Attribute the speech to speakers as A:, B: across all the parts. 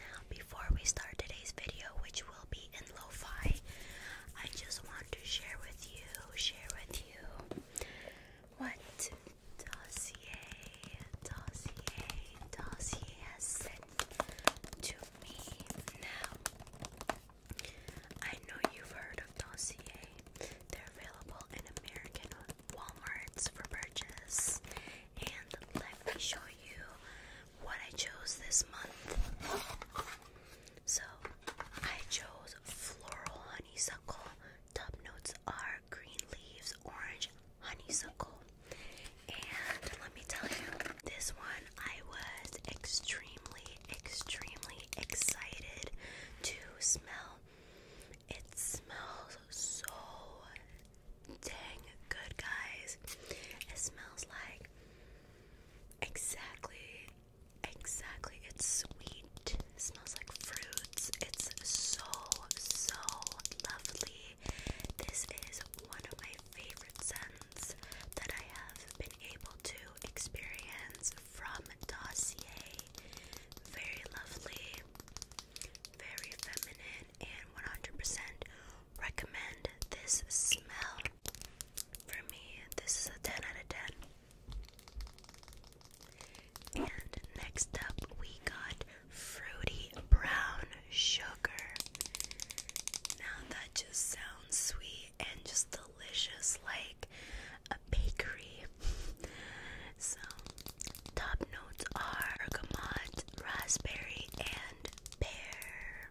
A: Now before we start today's video, which will be in lo I just want to share with you, share with you what Dossier, Dossier, Dossier has sent to me now. I know you've heard of Dossier. They're available in American Walmarts for purchase. And let me show you what I chose this month. So, I chose floral honeysuckle. Top notes are green leaves, orange honeysuckle. And let me tell you, this one I was extremely, extremely excited to smell it smells so dang good, guys. It smells like exactly, exactly. It's sweet. It smells like fruits. It's so, so lovely. This is one of my favorite scents that I have been able to experience from Dossier. Very lovely, very feminine, and 100% recommend this smell. For me, this is a 10 out of 10. And next up, we got Fruity Brown Sugar. Now that just sounds sweet and just delicious like a bakery. so, top notes are bergamot, raspberry, and pear.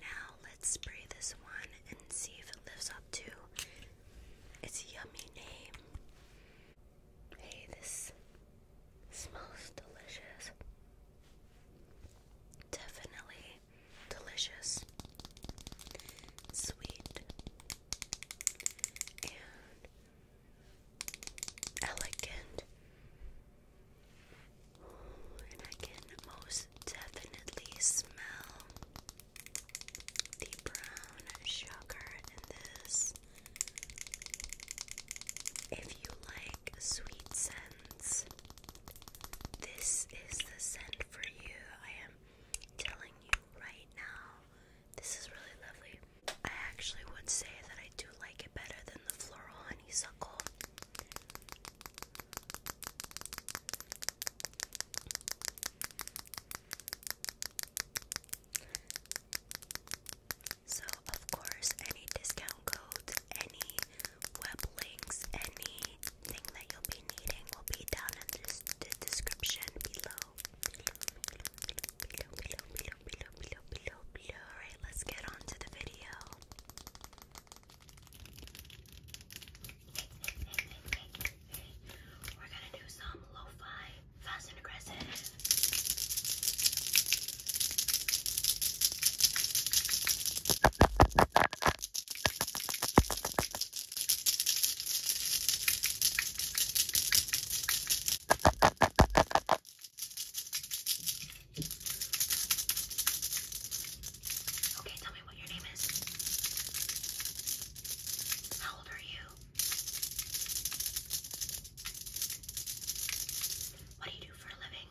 A: Now, let's spray this one and see if it lives up to its yummy name. Hey, this smells delicious. Definitely delicious, sweet, and elegant. And I can most definitely smell the brown sugar in this. If you like sweet scents, this is the scent for you. I i telling you right now, this is really lovely. I actually would say that I do like it better than the floral honeysuckle. So, of course, any discount code, any web links, anything that you'll be needing will be down in the description below. Below, below, below, below, below, below, below. Alright, let's get on the video. We're gonna do some lo-fi, fast and aggressive. Okay, tell me what your name is. How old are you? What do you do for a living?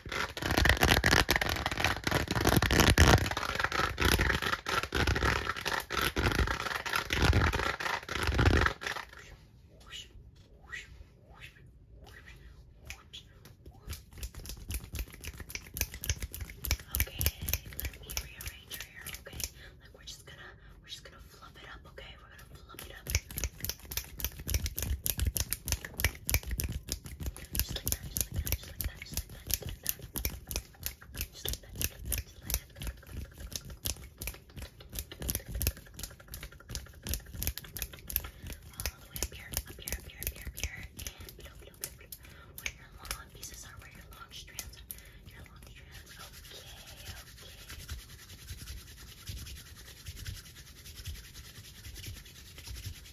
A: Okay, let me rearrange your hair, okay? Like we're just gonna we're just gonna fluff it up, okay? We're gonna fluff it up. Just like that, just like that, just like that, just like that, just like that. Just like that, just like that, just like that. All the way up here, up here, up here, up here, up here, and below, below, below, below. Where your long pieces are, where your long strands are. Your long strands. Okay, okay.